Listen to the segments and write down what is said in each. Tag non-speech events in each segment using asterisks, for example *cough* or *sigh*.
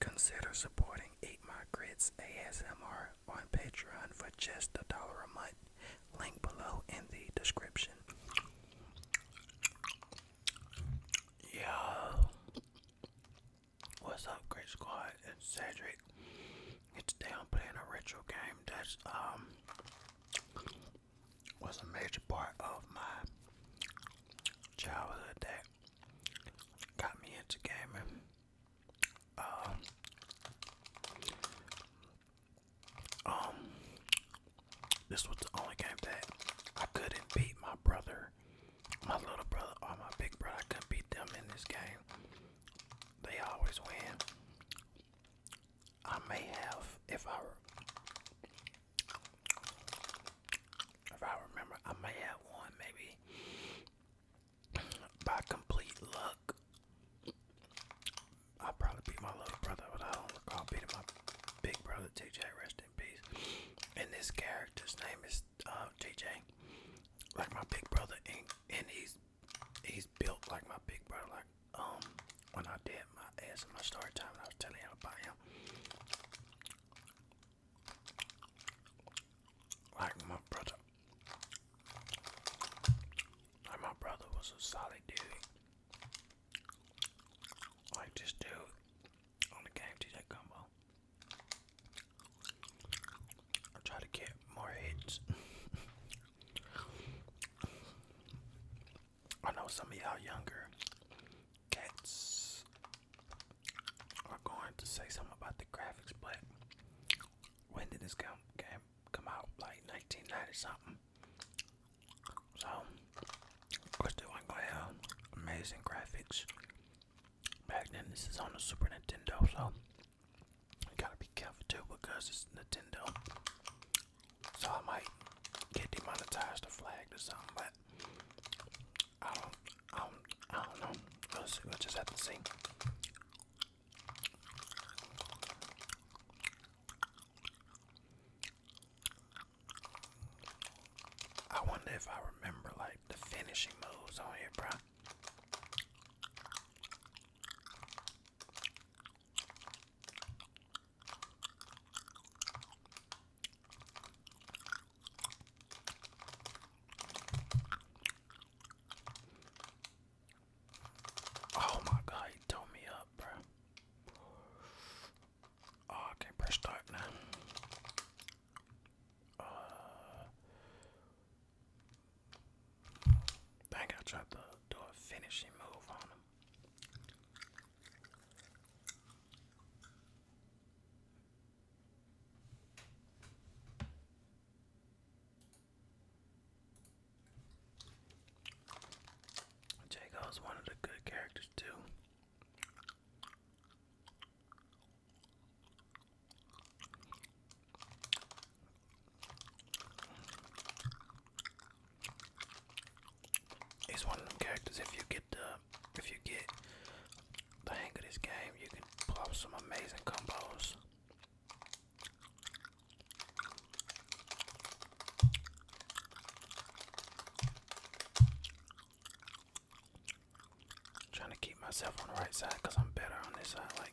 Consider supporting Eight My Grits ASMR on Patreon for just a dollar a month. Link below in the description. Yo, what's up, Great Squad? It's Cedric. And today I'm playing a retro game that um, was a major part of my childhood that got me into gaming. Uh, um, this was the only game that I couldn't beat my brother, my little brother or my big brother. I couldn't beat them in this game. They always win. I may have, if I if I remember, I may have won maybe by complete luck. I probably beat my little brother, but I don't recall beating my big brother TJ. Rest in peace. And this character's name is uh, TJ, like my big brother, and, and he's he's built like my big brother. Like um, when I did my ass in my start time, and I was telling you about him. Like my brother, like my brother was a solid dude. Like this dude on the game TJ combo. I try to get more hits. *laughs* I know some of y'all younger cats are going to say something about the graphics, but when did this game come out? Like 1990 something. So of course they were gonna have amazing graphics. Back then this is on the Super Nintendo, so you gotta be careful too because it's Nintendo. So I might get demonetized or flagged or something, but I don't, I don't, I don't know. we just have to see. I wonder if I remember like the finishing moves on here, bro. Oh my god, he tore me up, bro. Oh, I can't press start now. Uh, Dang, I tried to do a finishing move on him. Jago's one of the good characters too. He's one of them characters. If you get the, if you get the hang of this game, you can pull off some amazing combos. trying to keep myself on the right side because I'm better on this side. Like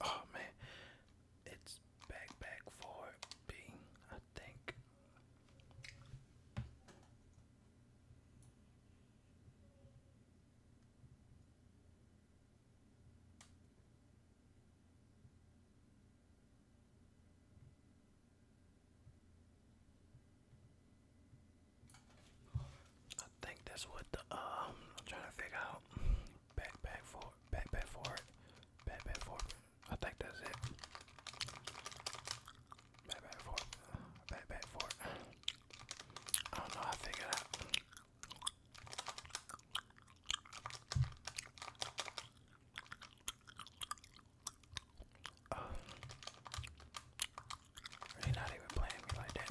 Oh man, it's back back B, I think. I think that's what the um I'm trying to figure out. Back back forward back back forward. Back back forward. I think that's it. Back back forward. Back back forward. I don't know, I figured out. Um, uh, He's not even playing me like that.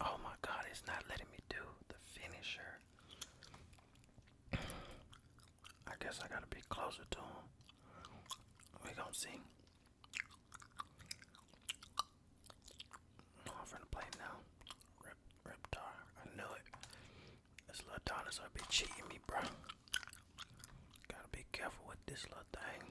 Oh my god, it's not letting me do the finisher. I guess I gotta be closer to him. We're gonna see. I'm finna play now. Rip, I knew it. This little dinosaur be cheating me, bro. Gotta be careful with this little thing.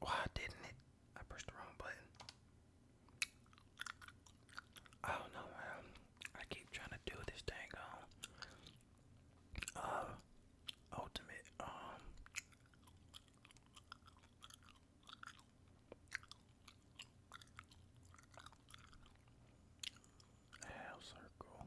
Why didn't it I pushed the wrong button. I don't know, man. I keep trying to do this thing on um, uh, ultimate. Um, half circle.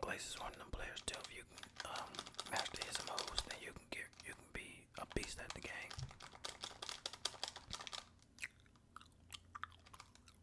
Glaze is one of them players too. If you can um, master his moves, then you can get you can be a beast at the game.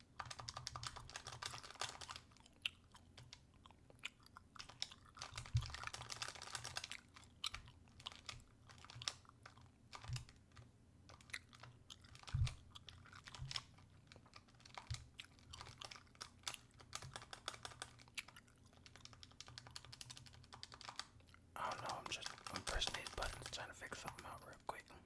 I oh, don't know, I'm just pressing these buttons trying to fix something out real quick.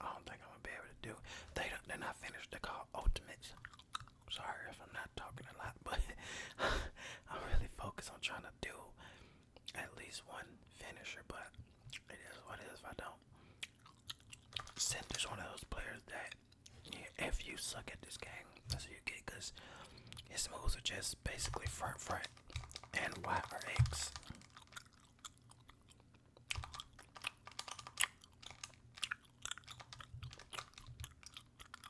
I don't think I'm gonna be able to do They are not finished. They're Ultimates. Sorry if I'm not talking a lot, but *laughs* I'm really focused on trying to do at least one finisher, but it is what it is if I don't. this one of those players that if you suck at this game, that's what you get because his moves are just basically front front and Y or X.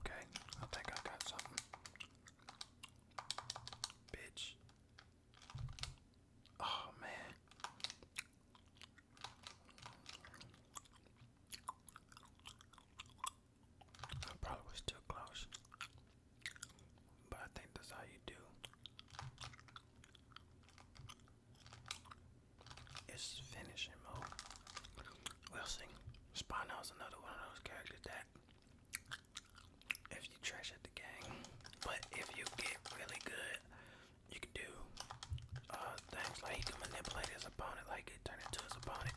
Okay, I think I got something. Bitch. Oh man. I probably was too close. But I think that's how you do. It's finishing mode. We'll is another one of those characters that if you trash at the game, but if you get really good, you can do uh, things like he can manipulate his opponent, like it turn into his opponent.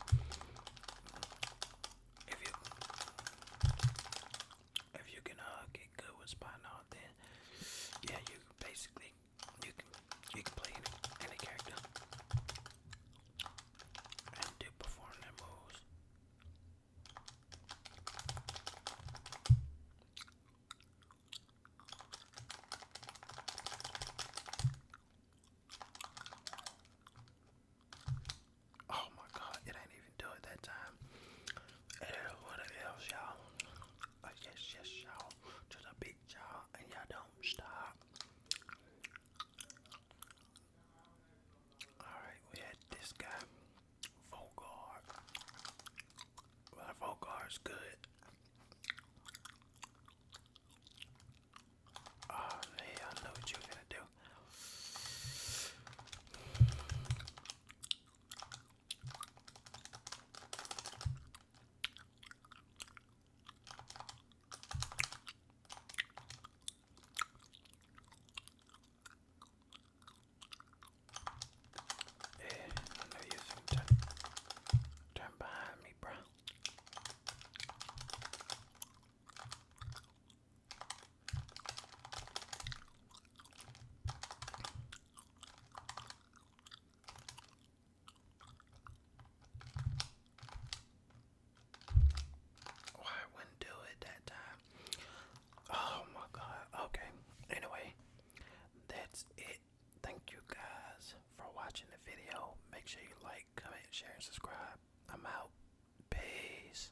If you if you can uh, get good with spot then yeah, you basically you can you can play any, any character and do perform their moves. Oh my god, it ain't even do it that time. Eh, what it is, y'all. Oh, yes, yes, y'all. To the beat, y'all, and y'all don't stop. Alright, we had this guy, Volgar. Well, good. Oh, man, I know what you're gonna do. Hey, I know you think behind me, bro. Why oh, wouldn't do it that time. Oh my god. Okay. Anyway, that's it. Thank you guys for watching the video. Make sure you like, comment, share, and subscribe. I'm out. Peace.